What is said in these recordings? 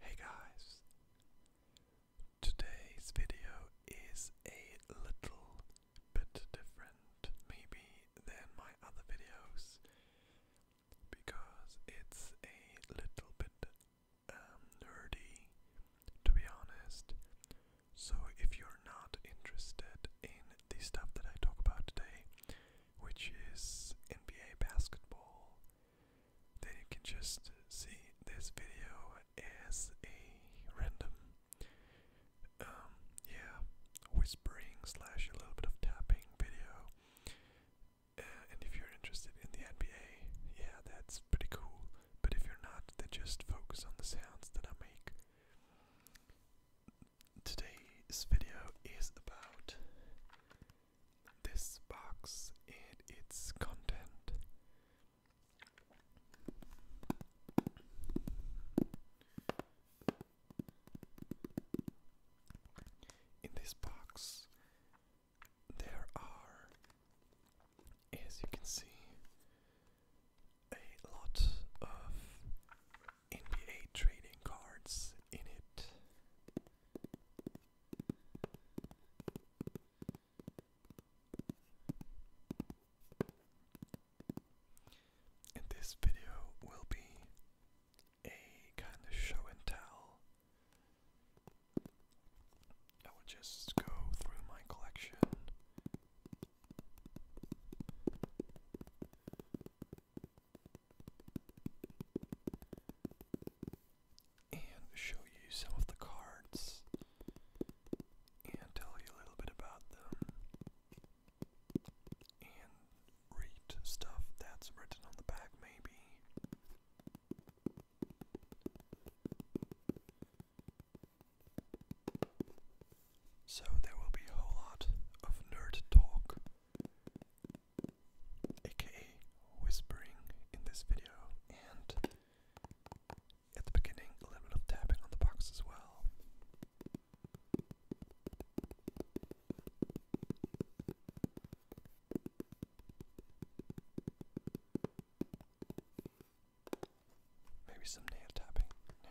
Hey guys! Today's video is a little bit different, maybe, than my other videos because it's a little bit um, nerdy, to be honest. So, if you're not interested in the stuff that I talk about today, which is NBA basketball then you can just see this video as a random um yeah whispering slash a little bit of tapping video uh, and if you're interested in the nba yeah that's pretty cool but if you're not then just focus on the sounds that i make today's video is about this box and its content. In this box, there are, as you can see, a lot of NBA trading cards in it. And this video will be a kind of show and tell. I will just go through my collection and show you some of the cards and tell you a little bit about them and read stuff that's written on the back, maybe. So, there will be a whole lot of nerd talk aka whispering in this video, and at the beginning, a little bit of tapping on the box as well. Maybe some nail tapping now.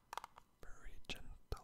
very gentle.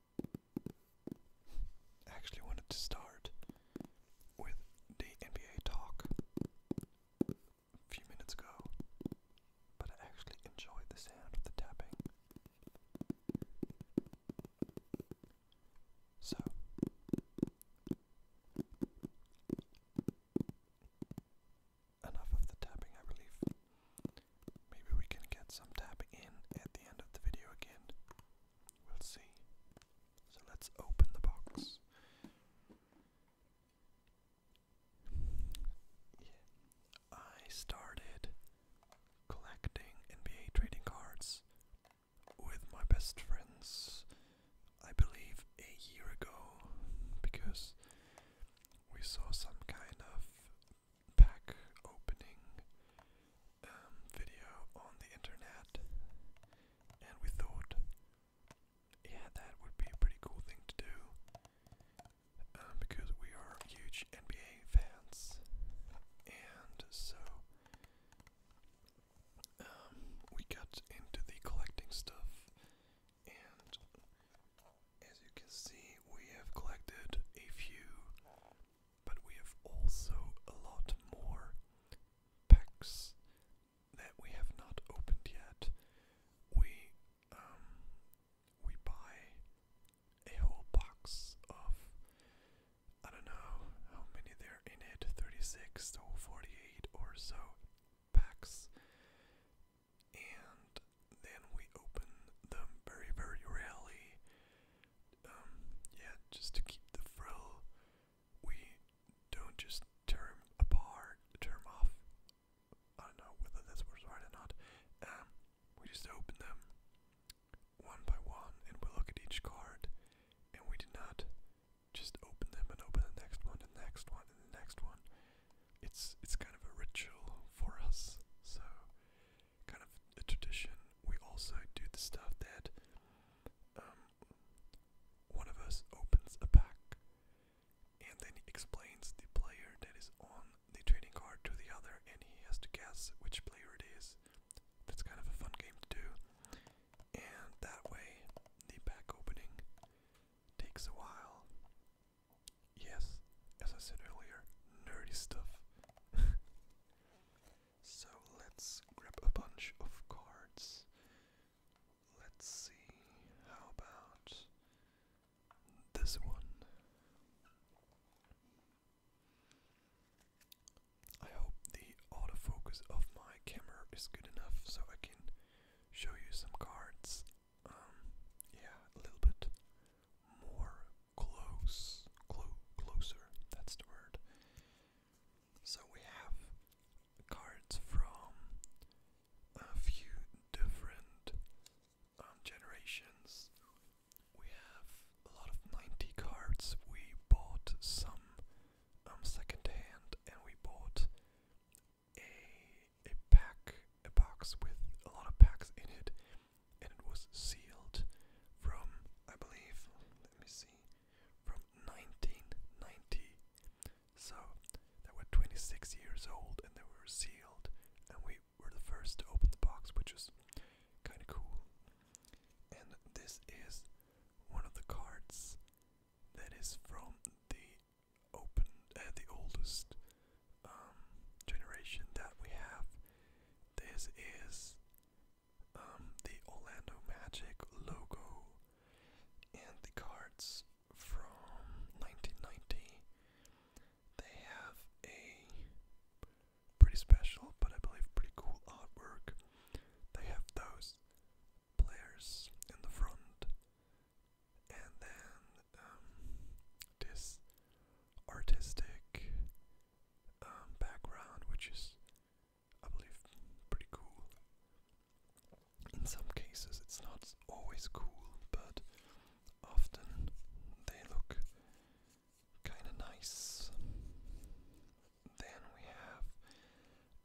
I actually wanted to start with the NBA talk a few minutes ago, but I actually enjoyed the sound of the tapping. So, enough of the tapping, I believe. Maybe we can get some tap in at the end of the video again. We'll see. So let's open the box. Yeah. I started collecting NBA trading cards with my best friends, I believe, a year ago because we saw some kind of pack opening um, video on the internet, and we thought, yeah, that would be a pretty cool thing to do um, because we are huge NBA fans, and so. Um, we got into the collecting stuff, and as you can see, we have collected a few, but we have also a lot more packs that we have not opened yet. We um we buy a whole box of I don't know how many there in it, 36 to 48 or so packs. And then we open them very, very rarely. Um, yeah, just to keep the frill. We don't just turn apart, turn off. I don't know whether this was right or not. Um, we just open them one by one, and we look at each card, and we do not just open them and open the next one, and the next one, and the next one. It's it's kind of a ritual for us. So kind of a tradition. We also do the stuff that um, one of us opens a pack and then he explains the player that is on the trading card to the other, and he has to guess which player it is. That's kind of a fun game to do, and that way the pack opening takes a while. Yes, as I said earlier, nerdy stuff. so let's grab a bunch of cards. Let's see, how about this one? I hope the autofocus of my camera is good enough so I can show you some cards. Um, yeah, a little bit more close, clo closer. That's the word. So we have cards from a few different um, generations. We have a lot of 90 cards. We bought some um, and we bought a, a pack a box with a lot of packs in it, and it was sealed from, I believe, let me see, from 1990. So they were 26 years old and they were sealed, and we were the first to open the box, which was kind of cool. And this is one of the cards that is from the open, uh, the oldest um, generation that we have. This is um, the Orlando Magic logo and the cards from 1990. They have a pretty special, but I believe pretty cool artwork. They have those players in the front, and then um, this artistic um, background, which is, I believe, pretty cool. In some cases, it's not always cool, but often they look kind of nice. Then we have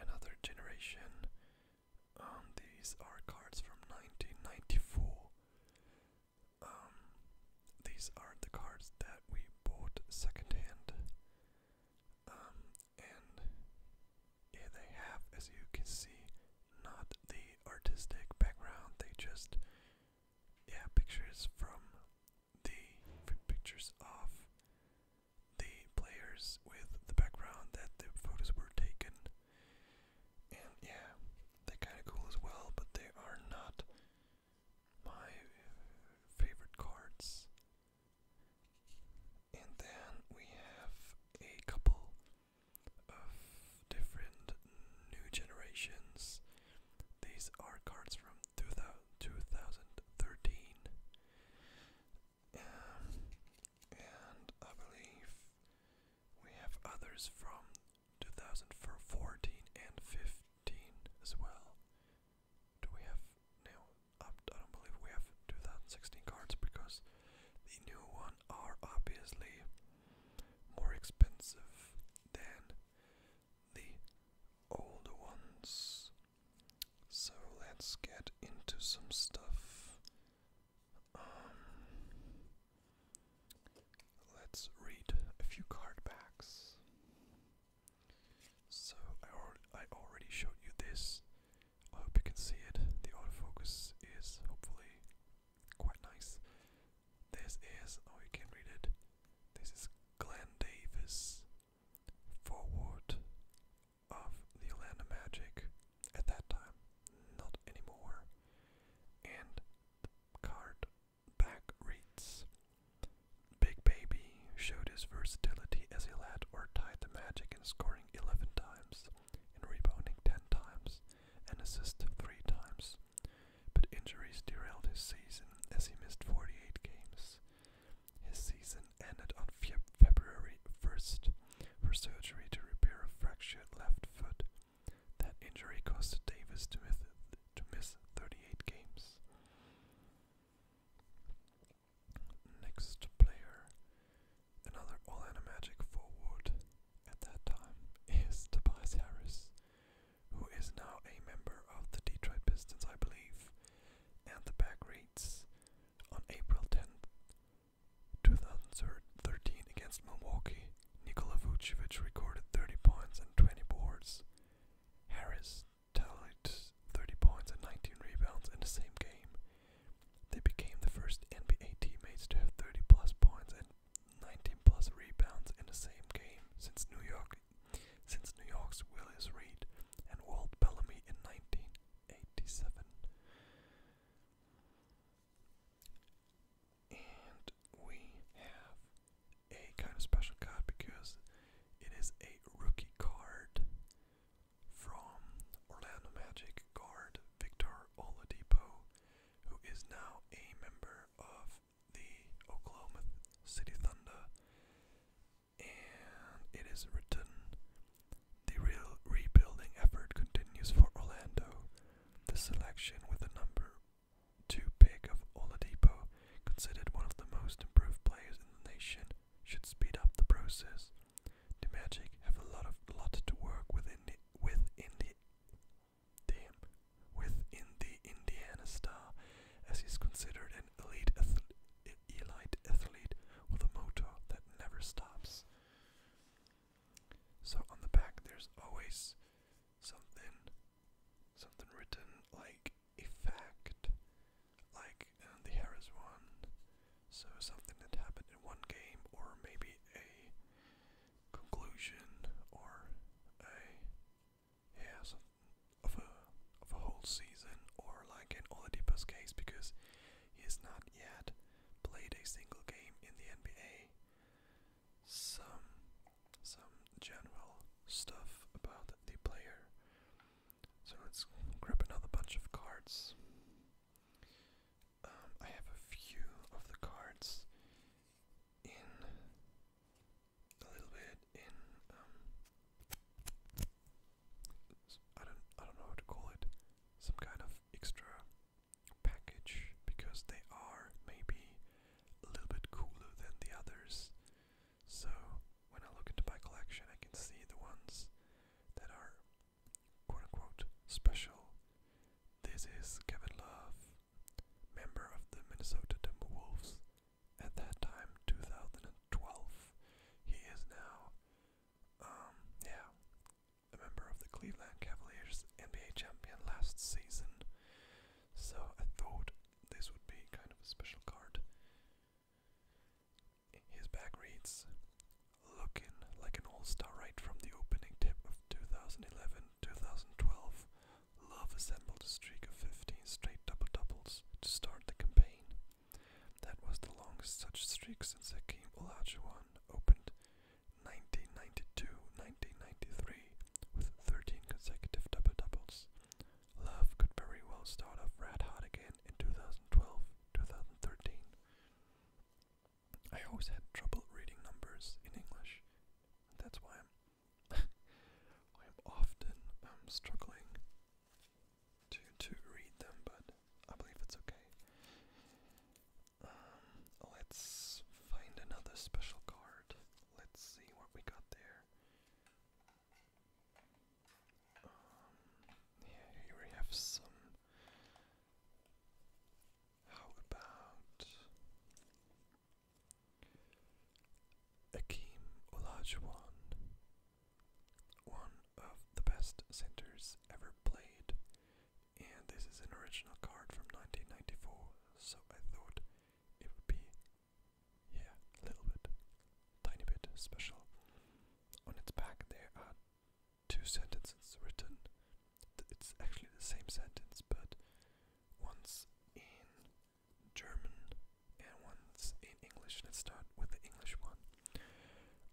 another generation. Um, these are cards from 1994. Um, these are the cards that we bought secondhand. Um, and yeah, they have, as you can see, not the artistic background. They just, yeah, pictures from the pictures of the players with the background that the photos were taken and yeah, they're kind of cool as well, but they are not my favorite cards. And then we have a couple of different new generations. These are cards from 2013. Um, and I believe we have others from 2014 and 15 as well. Do we have now? I don't believe we have 2016 cards because the new one are obviously more expensive than the old ones. So let's get into some stuff. Um, Let's read a few card backs. So I, already showed you this. I hope you can see it. The autofocus is hopefully quite nice. This is oh you can read it. This is Glenn Davis, forward of the Atlanta Magic at that time, not anymore. And card back reads Big Baby showed his versatility as he led or tied the magic in scoring 11 times, in rebounding 10 times, and assist 3 times. But injuries derailed his season as he missed 48 games. His season ended on February 1st for surgery to repair a fractured left foot that injury costed Davis to miss, 38 games. Next player, another all Magic forward at that time, is Tobias Harris, who is now a member of the Detroit Pistons, I believe, and the back reads on April 10th, 2013 against Milwaukee. Nikola Vucevic recorded 30 points and 20 boards. Harris tallied 30 points and 19 rebounds in the same game. They became the first NBA teammates to have 30 plus points and 19 plus rebounds in the same game since New York's Willis Reed and Walt Bellamy in 1987. And we have a kind of special card because it is a rookie card from Orlando Magic guard Victor Oladipo, who is now a member of the Oklahoma City Thunder. And it is written The real rebuilding effort continues for Orlando. The selection with the number too big of Oladipo, considered one of the most improved players in the nation, should speed up the process. The have a lot of lot to work within within the within the Indiana Star, as he's considered an elite elite athlete with a motor that never stops. So on the back, there's always something, something written like a fact, like uh, the Harris one. So something that happened in one game, or maybe a conclusion, or a yeah, of a of a whole season, or like in Oladipo's case, because he has not yet played a single game in the NBA some some general stuff about the player. So let's grab another bunch of cards. Um, I have a few of the cards in a little bit in um, I don't I don't know how to call it some kind of extra package because they are maybe a little bit cooler than the others. So when I look into my collection, I can see the ones that are quote unquote special. This is Kevin Love, member of the Minnesota Timberwolves at that time, 2012. He is now, um, yeah, a member of the Cleveland Cavaliers NBA champion last season, so I thought this would be kind of a special card. His back reads, looking like an all-star right from the opening tip of 2011-2012, Love assembled a streak of 15 straight double-doubles to start the campaign. That was the longest such streak since Hakeem Olajuwon opened 1992 1993 with 13 consecutive double doubles. Love could very well start off red hot again in 2012 2013. I always had trouble reading numbers in English. That's why I'm, I'm often um, struggling to to read them, but I believe it's okay. Um, let's find another special card. Let's see what we got there. Um, here we have some. How about Akeem Olajuwon, one of the best centers ever played and this is an original card from 1994, so I thought it would be, yeah, a little bit, tiny bit special. On its back, there are two sentences written. It's actually the same sentence, but once in German and once in English. Let's start with the English one.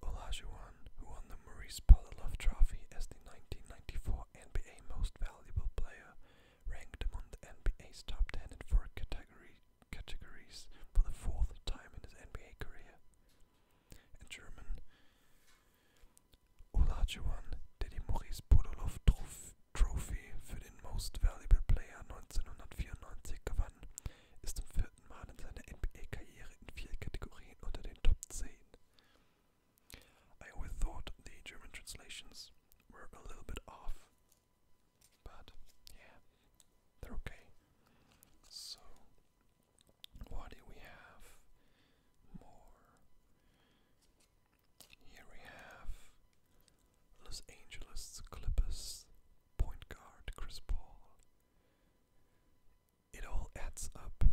Olajuwon, who won the Maurice Palilov Trophy as the 1994 NBA Most Valuable Player, ranked among the NBA's top 10 in four categories for the fourth time in his NBA career. In German, Olajuwon, der die Maurice Podolov Trophy für den Most Valuable Player 1994 gewann, ist zum vierten Mal in seiner NBA-Karriere in vier Kategorien unter den Top 10. I always thought the German translations were a little bit off, but yeah, they're okay. So, what do we have more? Here we have Los Angeles Clippers point guard Chris Paul. It all adds up.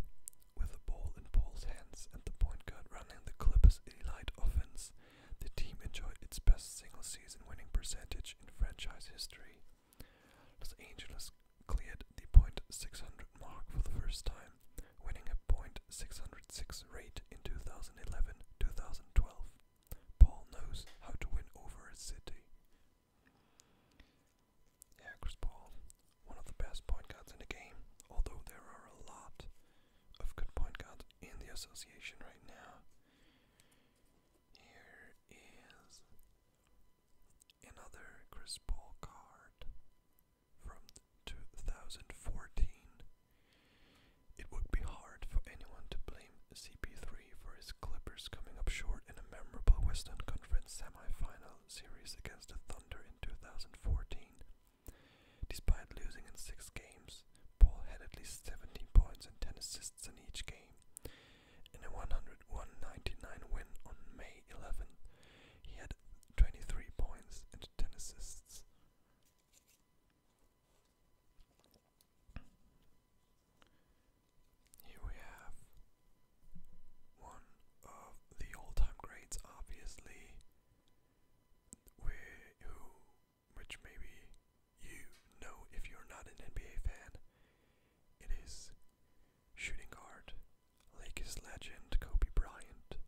With the ball in Paul's hands and the point guard running the Clippers' elite offense, the team enjoyed its best single season winning percentage in franchise history. Los Angeles cleared the .600 mark for the first time, winning a .606 rate in 2011-2012. Paul knows how to win over a city. Yeah, Chris Paul, one of the best point guards in the game, although there are a lot of good point guards in the association right now. Here is another Chris Paul card from 2014. It would be hard for anyone to blame CP3 for his Clippers coming up short in a memorable Western Conference semifinal series against the Thunder in 2014. Despite losing in six games, Paul had at least 17 points and 10 assists in each game. In a 101 99 win on May 11, he had 23 points and 10 assists. Here we have one of the all-time greats, obviously, who, which maybe you know if you're not an NBA fan. It is shooting guard, Lakers legend Kobe Bryant.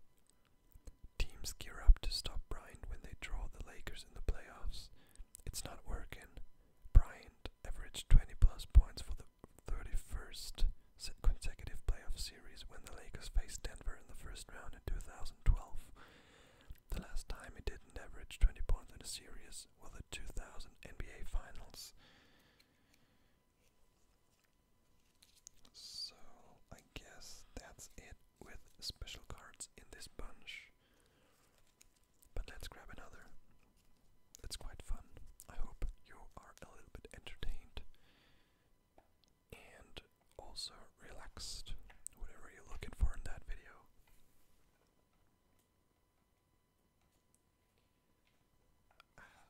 Teams gear up to stop Bryant when they draw the Lakers in the playoffs. It's not working. Bryant averaged 20 plus points for the 31st consecutive playoff series when the Lakers faced Denver in the first round in 2012. The last time he didn't average 20 points in a series was the 2000 NBA Finals. So I guess that's it with special cards in this bunch. But let's grab another it's quite fun. I hope you are a little bit entertained and also relaxed, whatever you're looking for in that video.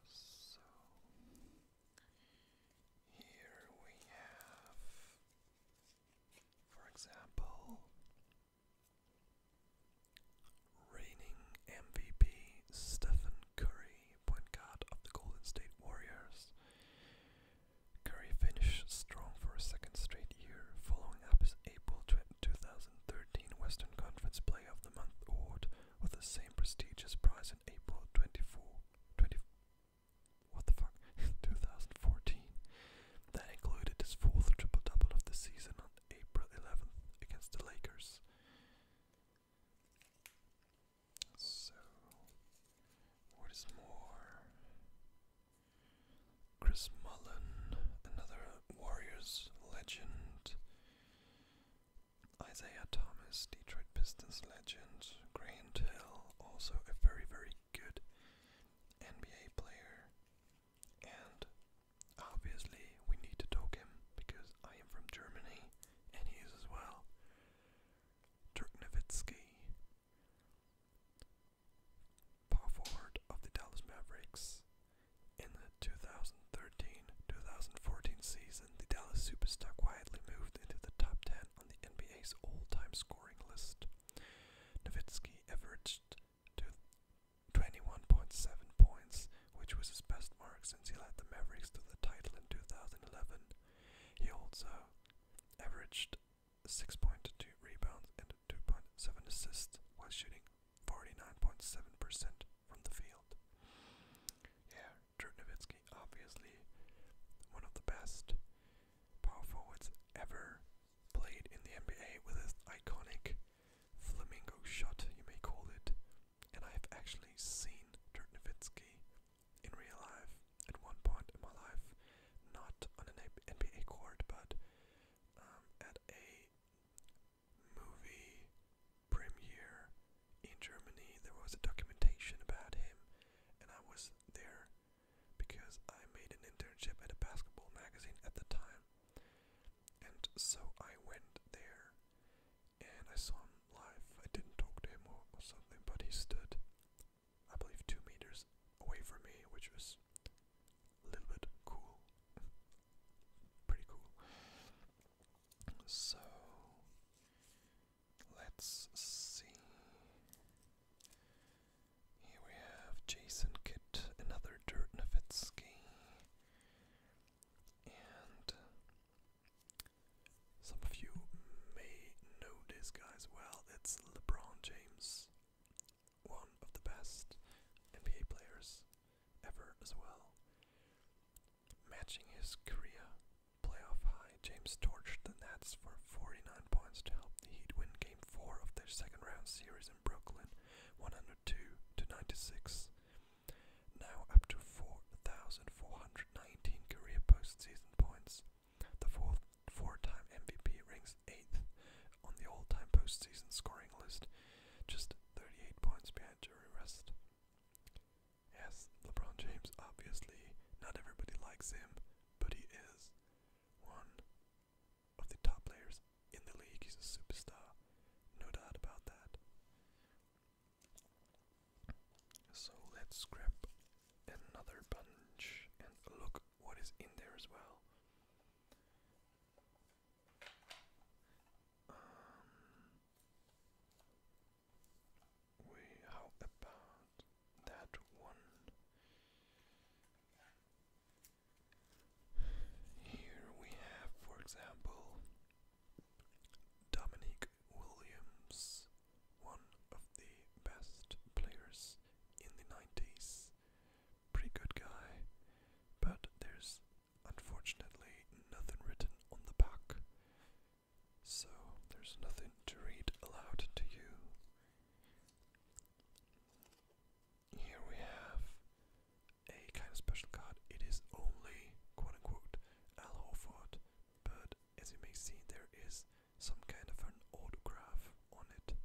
so, here we have, for example, Reigning MVP Stephen Curry, point guard of the Golden State Warriors. Curry finished strong for a second straight year, following up his April 2013 Western Conference Play of the Month award with the same prestigious prize in April 24. 2014. That included his fourth triple double of the season on April 11th against the Lakers. So, what is more? Chris Mullen, another Warriors legend. Isaiah Thomas, Detroit Pistons legend. Grant Hill, also a very, very good NBA player. And obviously, we need to talk him because I am from Germany and he is as well. Dirk Nowitzki, power forward of the Dallas Mavericks. In the 2013-2014 season, the Dallas Superstar quietly moved into the top 10 on the NBA's all-time scoring list. Nowitzki averaged 21.7 points which was his best mark since he led the Mavericks to the title in 2011. He also averaged 6.2 rebounds and 2.7 assists while shooting 49.7% from the field. Yeah, Dirk Nowitzki, obviously one of the best power forwards ever played in the NBA with his iconic flamingo shot, you may call it, and I have actually seen Dirk Nowitzki in real life at one point in my life, not on an NBA court, but um, at a movie premiere in Germany. There was a documentation about him, and I was there because I made an internship at a basketball magazine at the time. And so I went there and I saw him live. I didn't talk to him or, something, but he stood, I believe, two meters away from me, which was a little bit cool. Pretty cool. So let's see. Here we have Jason Kitt, another Dirt Nowitzki. And some of you may know this guy as well. It's LeBron James, one of the best NBA players ever as well. Matching his Korea playoff high, James torched the Nets for 49 points to help the Heat win Game 4 of their second round series in Brooklyn, 102 to 96. Now up to 4,419 career postseason points. The 4th four-time MVP ranks eighth on the all-time postseason scoring list, just 38 points behind Jerry West. Yes, LeBron James, obviously, not everybody likes him, but he is one of the top players in the league. He's a superstar, no doubt about that. So let's grab another bunch and look what is in there as well. Um, how about that one? Here we have, for example, Dominique Williams, one of the best players in the 90s. Pretty good guy, but there's unfortunately nothing written on the back, so there's nothing to read aloud to you. Here we have a kind of special card. It is only quote unquote Al Horford, but as you may see, there is some kind of an autograph on it.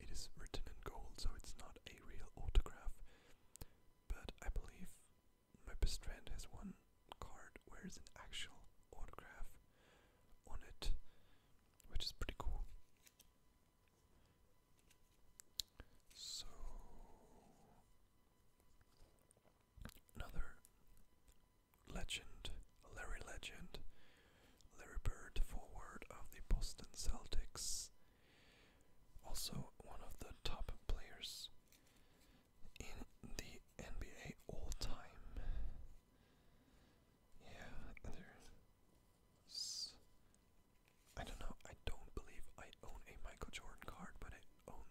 It is written in gold, so it's not a real autograph. But I believe my best friend has one card where there's an actual autograph on it, which is pretty cool. So Another legend, Larry Legend, Larry Bird, forward of the Boston Celtics, also one of the top players in the NBA all time. Yeah, I don't know, I don't believe I own a Michael Jordan card, but I own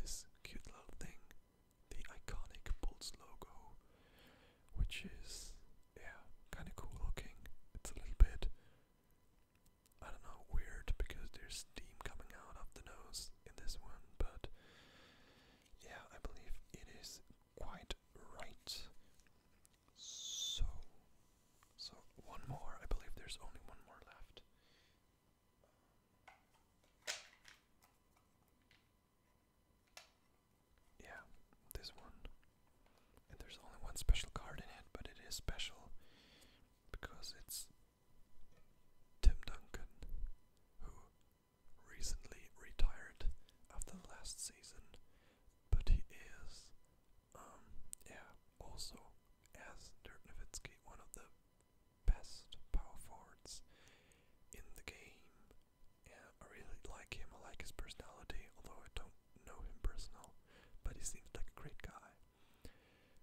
this cute little thing, the iconic Bulls logo, which is, yeah, kind of cool looking. It's a little bit, I don't know, weird because there's steam coming out of the nose in this one, but yeah, I believe it is quite right. So, so one more. I believe there's only one more left. Yeah, this one. And there's only one special card in it, but it is special because it's Tim Duncan, who recently retired after last season, but he is um, yeah, also, as Dirk Nowitzki, one of the best power forwards in the game. Yeah, I really like him, I like his personality, although I don't know him personal, but he seems like a great guy.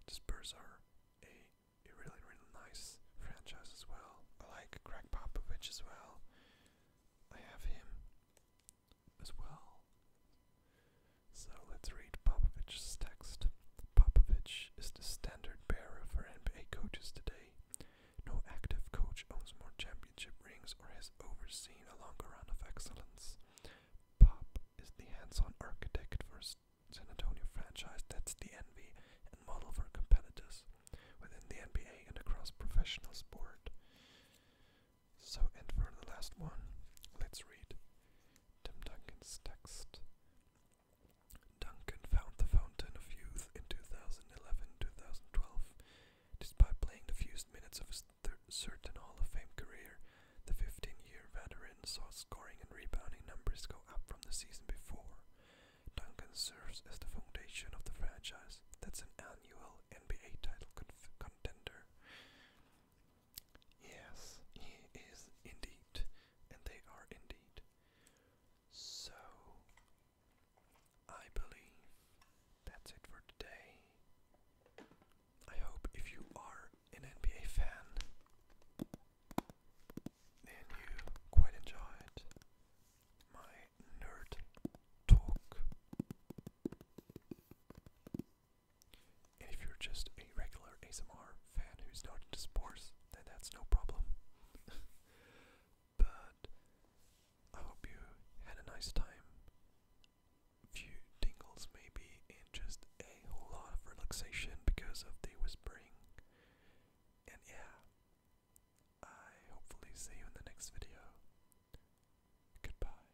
The Spurs are a, a really, really nice franchise as well. I like Greg Popovich as well. I have him as well. So let's read Popovich's text. Popovich is the standard bearer for NBA coaches today. No active coach owns more championship rings or has overseen a longer run of excellence. Pop is the hands-on architect for San Antonio franchise that's the envy and model for competitors within the NBA and across professional sport. So, and for the last one, let's read Tim Duncan's text. Duncan found the Fountain of Youth in 2011-2012. Despite playing the fewest minutes of his certain Hall of Fame career, the 15-year veteran saw scoring and rebounding numbers go up from the season before. Duncan serves as the foundation of the franchise that's an annual NBA title contender. Yes, he is indeed, and they are indeed. So, I believe that's it for today. I hope if you are an NBA fan, then you quite enjoyed my nerd talk. And if you're just a regular ASMR fan who's not into sports, then that's no problem. but I hope you had a nice time. Few tingles, maybe, and just a whole lot of relaxation because of the whispering. And yeah, I hopefully see you in the next video. Goodbye.